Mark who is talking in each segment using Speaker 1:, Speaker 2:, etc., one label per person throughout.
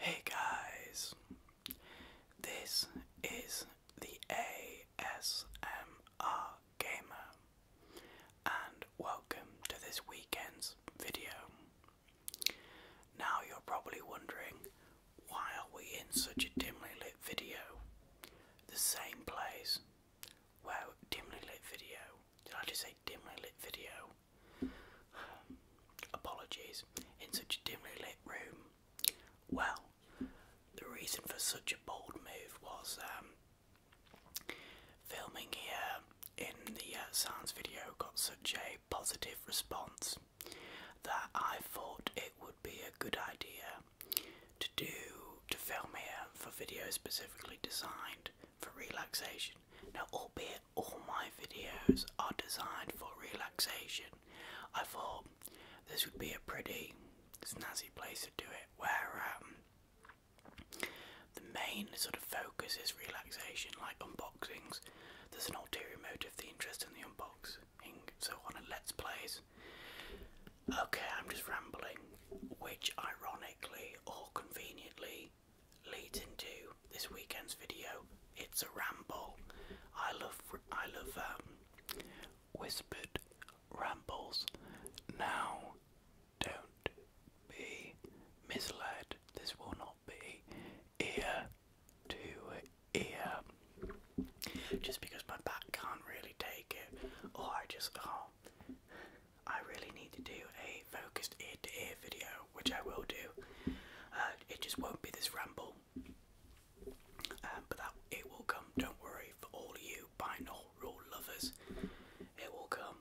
Speaker 1: Hey guys, this is the ASMR Gamer, and welcome to this weekend's video. Now you're probably wondering why are we in such a dimly lit video? The same place. Well, dimly lit video. Did I just say dimly lit video? apologies. In such a dimly lit room. Well, the reason for such a bold move was um, filming here in the uh, sounds video got such a positive response that I thought it would be a good idea to do to film here for videos specifically designed for relaxation. Now, albeit all my videos are designed for relaxation, I thought this would be a pretty snazzy place to do it where um, the main sort of focus is relaxation, like unboxings. There's an ulterior motive, the interest in the unboxing. So on and let's plays, Okay, I'm just rambling, which ironically or conveniently leads into this weekend's video. It's a ramble. I love I love um, whispered rambles. Now, don't be misled. This will not be ear to ear just because my back can't really take it, or I just oh, I really need to do a focused ear to ear video, which I will do. Uh, it just won't be this ramble, um, but that it will come. Don't worry for all you binaural rule lovers, it will come.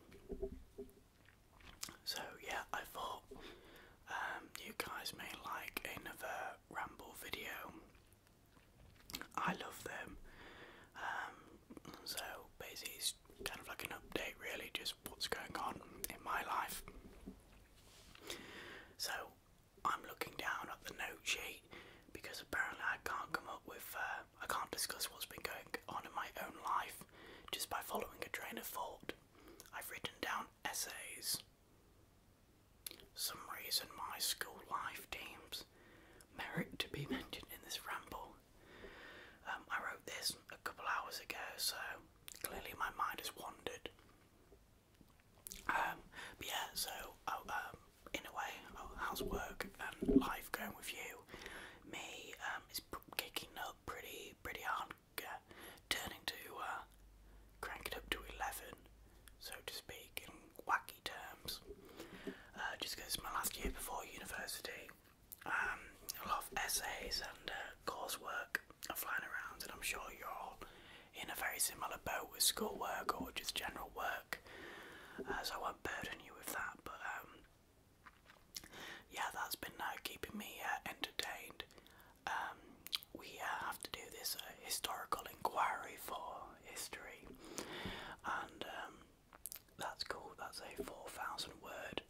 Speaker 1: So yeah, I thought um, you guys may like another ramble video. I love them. Um, so basically, it's kind of like an update, really, just what's going on in my life. So I'm looking down at the note sheet because apparently I can't come up with, uh, I can't discuss what's been going on in my own life just by following a train of thought. I've written down essays some reason my school life teams merit to be mentioned in this ramble. Um, I wrote this a couple hours ago, so clearly my mind has wandered. Um, yeah, so oh, um, in a way, oh, how's work and life going with you? Me um, is kicking up pretty, pretty hard turning to uh, crank it up to 11, so to speak, in wacky terms. Uh, my last year before university, um, a lot of essays and uh,
Speaker 2: coursework are flying around, and I'm sure you're all in a very similar boat with
Speaker 1: schoolwork or just general work, uh, so I won't burden you with that. But um, yeah, that's been keeping me entertained. Um, we have to do this uh, historical inquiry for history, and um, that's cool. That's a four thousand word.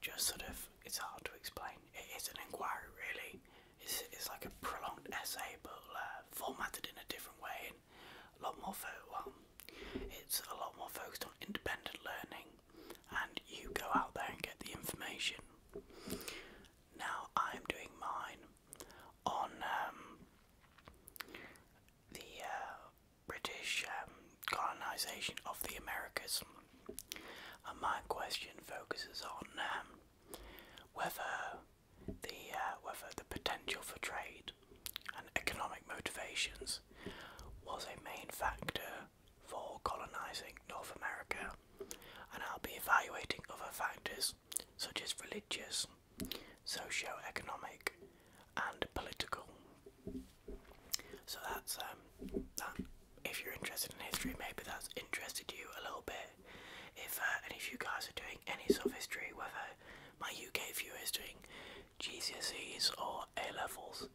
Speaker 1: Just sort of, it's hard to explain. It is an inquiry, really. It's, it's like a prolonged essay, but uh, formatted in a different way and a lot more. Fo well, it's a lot more focused on independent learning, and you go out there and get the information. Now I'm doing mine on um, the uh, British um, colonization of the Americas, and my question focuses on um, whether the uh, whether the potential for trade and economic motivations was a main factor for colonizing North America and I'll be evaluating other factors such as religious, socio-economic, and political. So that's um that. If you're interested in history, maybe that's interested you a little bit. If uh, any of you guys are doing any sort of history, whether my UK viewers doing GCSEs or A levels,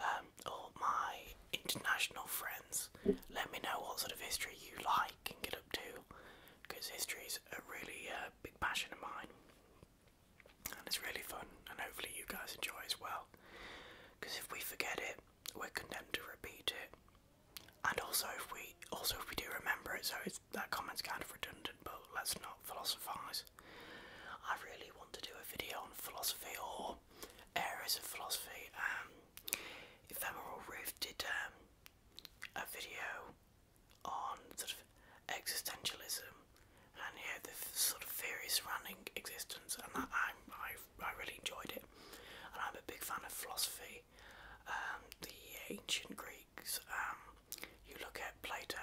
Speaker 1: um, or my international friends. Let me know what sort of history you like and get up to, because history is a really uh, big passion of mine, and it's really fun. And hopefully you guys enjoy as well, because if we forget it, we're condemned to repeat it. And also, if we also if we do remember it, so it's, that comment's kind of redundant, but let's not philosophise. I really want to do a video on philosophy or areas of philosophy. Um, Ephemeral Roof did um, a video on sort of existentialism and you know, the sort of theory surrounding existence, and that I, I, I really enjoyed it. And I'm a big fan of philosophy, um, the ancient Greeks. Um, you look at Plato,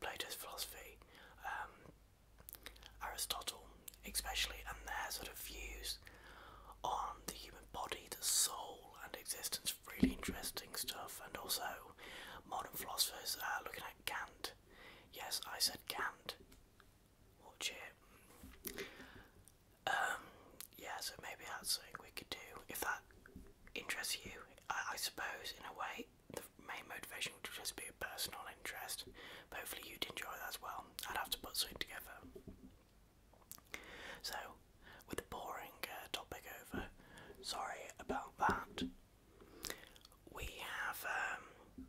Speaker 1: Plato's philosophy, um, Aristotle, especially and their sort of views on the human body, the soul, and existence. Really interesting stuff, and also modern philosophers uh, looking at Kant. Yes, I said Kant. Watch it. Um, yeah, so maybe that's something we could do if that interests you. I, suppose, in a way, the main motivation would just be a personal interest, hopefully you'd enjoy that as well. I'd have to put something together. So, with the boring uh, topic over, sorry about that. We have, um,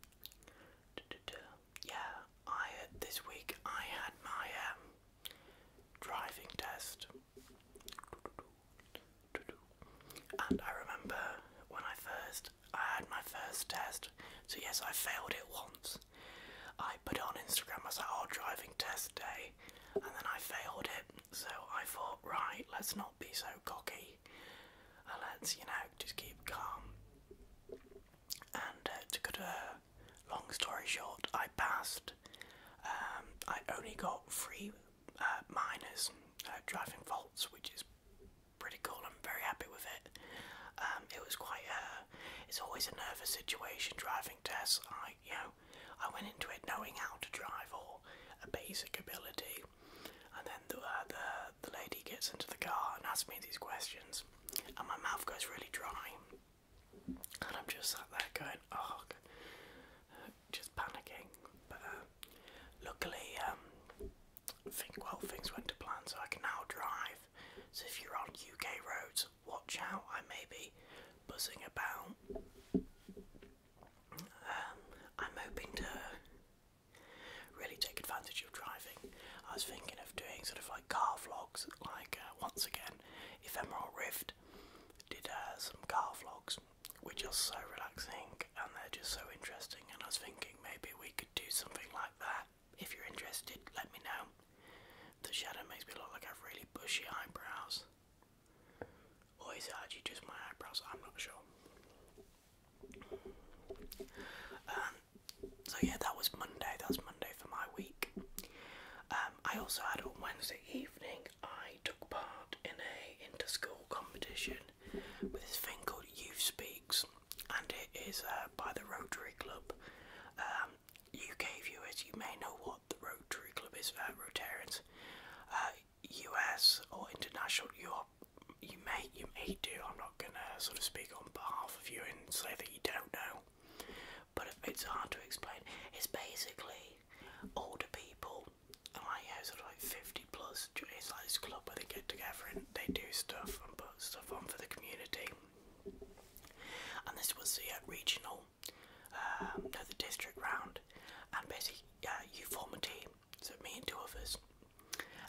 Speaker 1: yeah, I uh, this week I had my um, driving test, and I remember when I first I had my first test. So yes, I failed it once. I put it on Instagram as our oh, driving test day, and then I failed it. So I thought, right, let's not be so cocky, and let's you know just keep calm. And uh, to cut a long story short, I passed. Um, I only got three uh, minors uh, driving faults, which is pretty cool. I'm very happy with it. Um, it was quite a it's always a nervous situation driving tests. I, you know, I went into it knowing how to drive or a basic ability, and then the, uh, the the lady gets into the car and asks me these questions, and my mouth goes really dry, and I'm just sat there going, oh, just panicking. But uh, luckily, um, think well things went to plan so I can now drive. So if you're on UK roads, watch out, I may be buzzing about. Um, I'm hoping to really take advantage of driving. I was thinking of doing sort of like car vlogs, like uh, once again, Ephemeral Rift did uh, some car vlogs, which are so relaxing and they're just so interesting. And I was thinking maybe we could do something like that if you're interested, let me know. The shadow makes me look like I have really bushy eyebrows. Always is just my eyebrows? I'm not sure. Um, so yeah, that was Monday. That was Monday for my week. Um, I also had on Wednesday evening, I took part in a inter-school competition with this thing called Youth Speaks and it is uh, by the Rotary Club. Um, UK viewers, you may know what the Rotary Club is for Rotarians. US uh, or international, you you may you may do. I'm not gonna sort of speak on behalf of you and say that you don't know, but it's hard to explain. It's basically older people, like yeah, sort of like 50 plus. It's like this club where they get together and they do stuff and stuff on for the community. And this was the uh, regional, um, no, the district round, and basically you form a team, so me and two others,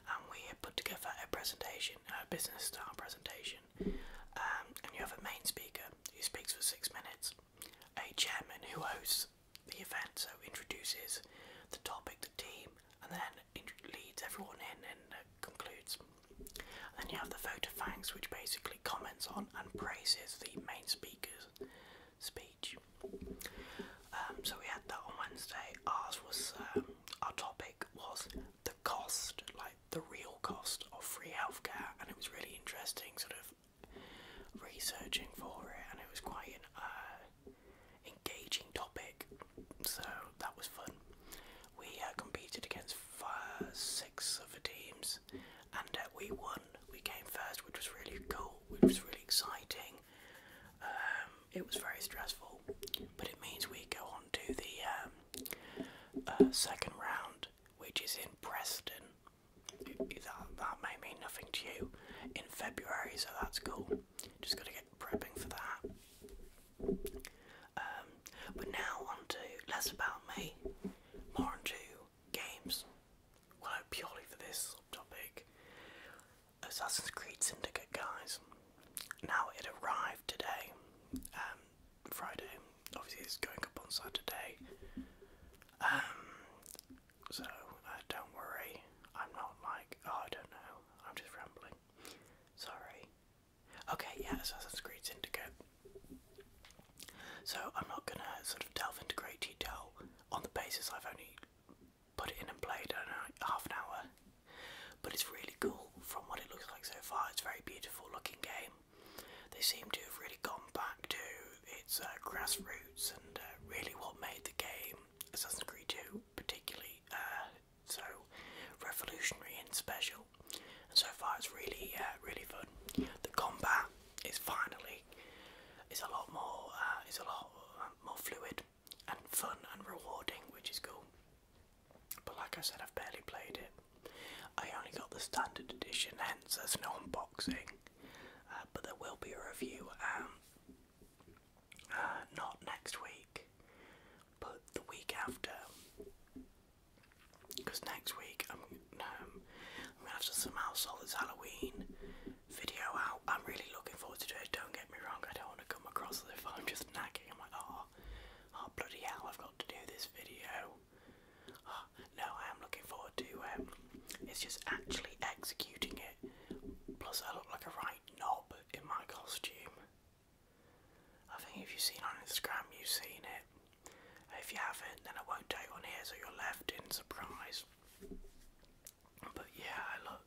Speaker 1: and we put together a presentation, a business style presentation, um, and you have a main speaker who speaks for six minutes, a chairman who hosts the event, so introduces the topic, the team, and then leads everyone in and uh, concludes. then you have the vote of thanks, which basically comments on and praises the main speaker's speech. Um, so we had that on Wednesday. Ours was um, our topic was the cost, like the real cost of free healthcare, and it was really interesting, sort of researching for it, and it was quite an uh, engaging topic. So that was fun. We uh, competed against five, six other teams, and uh, we won. We came first, which was really cool. Which was really exciting. Um, it was very stressful, but it means we go on to the um, uh, second round, which is in Preston. that may mean nothing to you in February, so that's cool. Just gotta get prepping for that. Um, but now on less about me, more on games. Well, purely for this subtopic. Assassin's Creed Syndicate, guys. Now it arrived today, um, Friday. Obviously, it's going up on Saturday. Um, so uh, don't worry. I'm not like oh, I don't know. I'm just rambling. Sorry. Okay, yeah, Assassin's Creed Syndicate. So I'm not gonna sort of delve into great detail on the basis I've only put it in and played I don't know, half an hour. But it's really cool from what it looks like so far. It's very beautiful looking game. They seem to have really gone back to its uh, grassroots and uh, really what made the game Assassin's Creed 2 particularly uh, so revolutionary and special. And so far, it's really, uh, really fun. The combat is finally is a lot more uh, is a lot um, more fluid and fun and rewarding, which is cool. But like I said, I've barely played it. I only got the standard edition, hence there's no unboxing. Uh, but there will be a review um, uh, not next week, but the week after. Because next week I'm, um, I'm gonna have to somehow sort this Halloween video out. I'm really looking forward to it. Don't get me wrong. I don't want to come across as if I'm just nagging. I'm like, oh, oh bloody hell! I've got to do this video. Ah, no, I am looking forward to it. Um, it's just actually executing it. Plus, I look like a right knob in my costume. I think if you've seen on Instagram, you've seen it. If you haven't, then I won't tell you on here, so you're left in surprise. But yeah, look.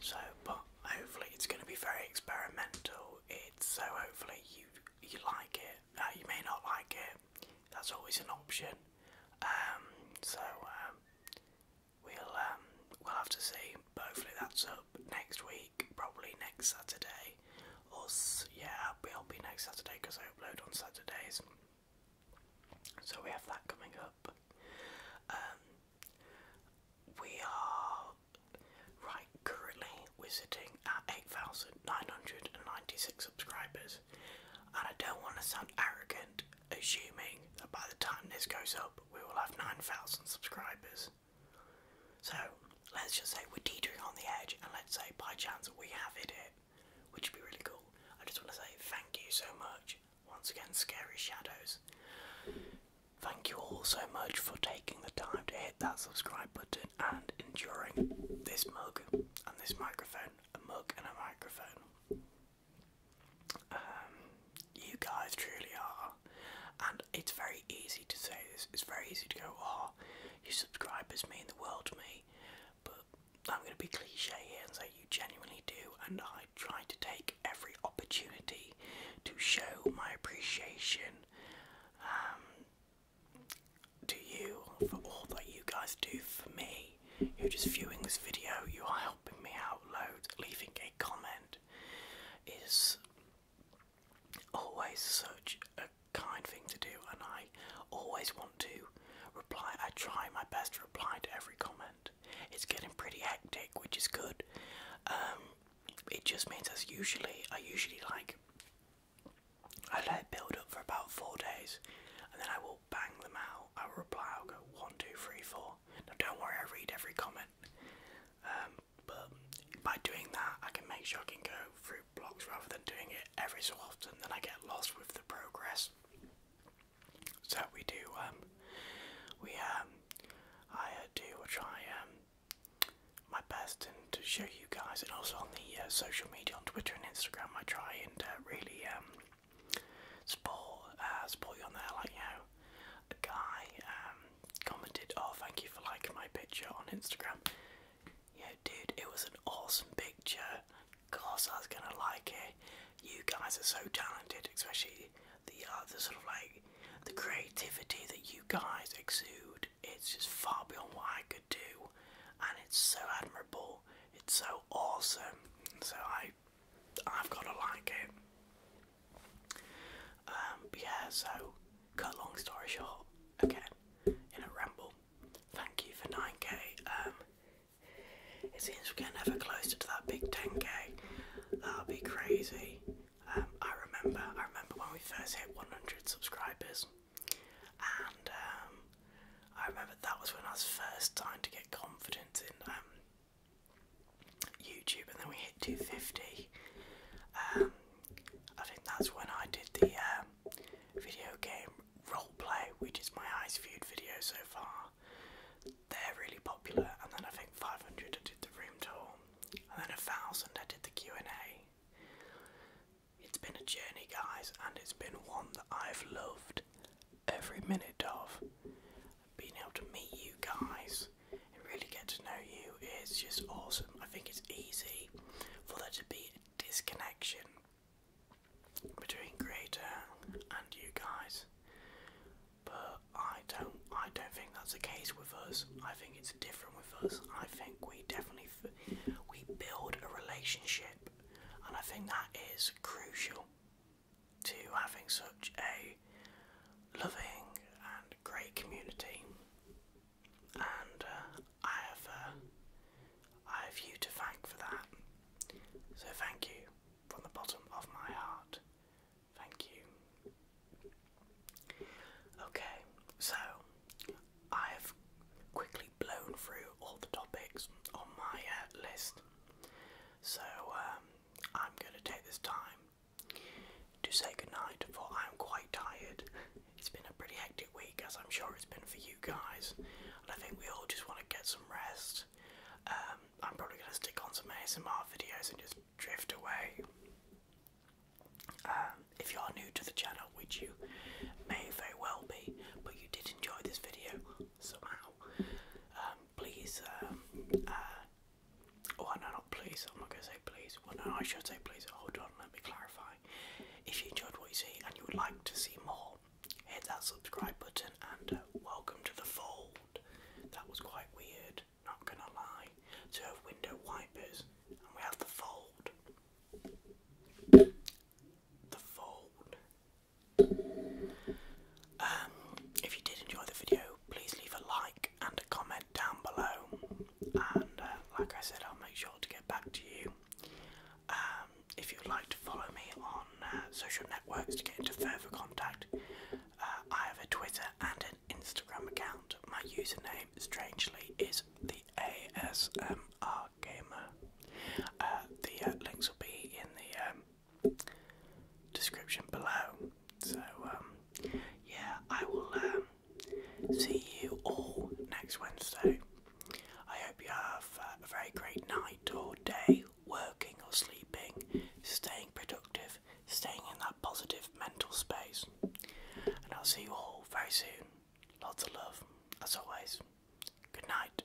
Speaker 1: So, but hopefully it's going to be very experimental. It's so hopefully you you like it. Uh, you may not like it. That's always an option. Um, so um, we'll um we'll have to see. hopefully that's up next week, probably next Saturday. Or yeah, it'll be next Saturday because I upload on Saturdays. So we have that coming up. Um, we are right currently we're sitting at eight thousand nine hundred and ninety six subscribers, and I don't want to sound arrogant, assuming that by the time this goes up, we will have 9,000 subscribers. So let's just say we're teetering on the edge, and let's say by chance we have hit it, which would be really cool. I just want to say thank you so much, once again, Scary Shadows. Thank you all so much for taking the time to hit that subscribe button and enduring this mug and this microphone, a mug and a microphone. Um, you guys truly are, and it's very easy to say this. It's very easy to go, "Oh, you your subscribers mean the world to me," but I'm going to be cliche here and say you genuinely do, and I try to take every opportunity to show my appreciation um, to you for all that you guys do for me. You're just viewing this video, you are helping me out loads, leaving a comment, is always such a kind thing to do, and I always want to reply. I try my best to reply to every comment. It's getting pretty hectic, which is good. Um, it just means as usually, I usually like I let it build up for about four days, and then I will bang them out. I will reply. I'll go one, two, three, four. Now don't worry, I read every comment. Um, but by doing that, I can make sure I can go through blocks rather than doing it every so often. Then I get lost with the progress. So we do. Um, we um, I uh, do try my best and to show you guys, and also on the uh, social media, on Twitter and Instagram, I try and uh, really support uh, support you on there. Like you know, a guy um, commented, "Oh, thank you for liking my picture on Instagram." Yeah, dude, it was an awesome picture. Of course, I was gonna like it. You guys are so talented, especially the uh, the sort of like the creativity that you guys exude. It's just far beyond what I could do, and it's so admirable. It's so awesome. So I I've got to like it. Um, yeah, so, cut long story short, again, in a ramble, thank you for 9k. Um, it seems we're getting ever closer to that big 10k. That'll be crazy. Um, I remember, I remember when we first hit 100 subscribers, and I remember that was when I was first trying to get confident in YouTube, and then we hit 250. Um, I think that's when I did the um, video game role play, which is my highest viewed video so far. They're really popular, and then I think 500 I did the room tour, and then a thousand I did the Q and A. It's been a journey, guys, and it's been one that I've loved every minute of being able to meet you guys and really get to know you is just awesome. I think it's easy for there to be a disconnection between creator and you guys. But I don't I don't think that's the case with us. I think it's different with us. I think we definitely we build a relationship and I think that is crucial to having such a loving and great community, and uh, I have uh, I have you to thank for that. So thank you from the bottom of my heart. Thank you. Okay, so I have quickly blown through all the topics on my uh, list. So um, I'm going to take this time to say goodnight, for I'm quite tired. It's been a pretty hectic week, as I'm sure it's been for you guys, and I think we all just want to get some rest. Um, I'm probably going to stick on some ASMR videos and just drift away. Um, if you are new to the channel, which you may very well be, but you did enjoy this video somehow, um, please, um, uh, oh no, not please, I'm not going to say please, I should say please, hold on, let me clarify. If you enjoyed what you see and you would like to see more, hit that subscribe button and uh, welcome to the fold. That was quite weird, not gonna lie. we have window wipers and we have the fold. The fold. Um, if you did enjoy the video, please leave a like and a comment down below. And uh, like I said, I'll make sure to get back to you. Um, if you'd like to follow me on uh, social networks to get into further contact, uh, I have a Twitter and an Instagram account. My username, strangely, is the ASMR Gamer. the links will be in the um, description below. So, um, yeah, I will um, see you all next Wednesday. I hope you have a very great night or day, working or sleeping, staying productive, staying in that positive mental space. And I'll see you all very soon. Lots of love, as always. Good night.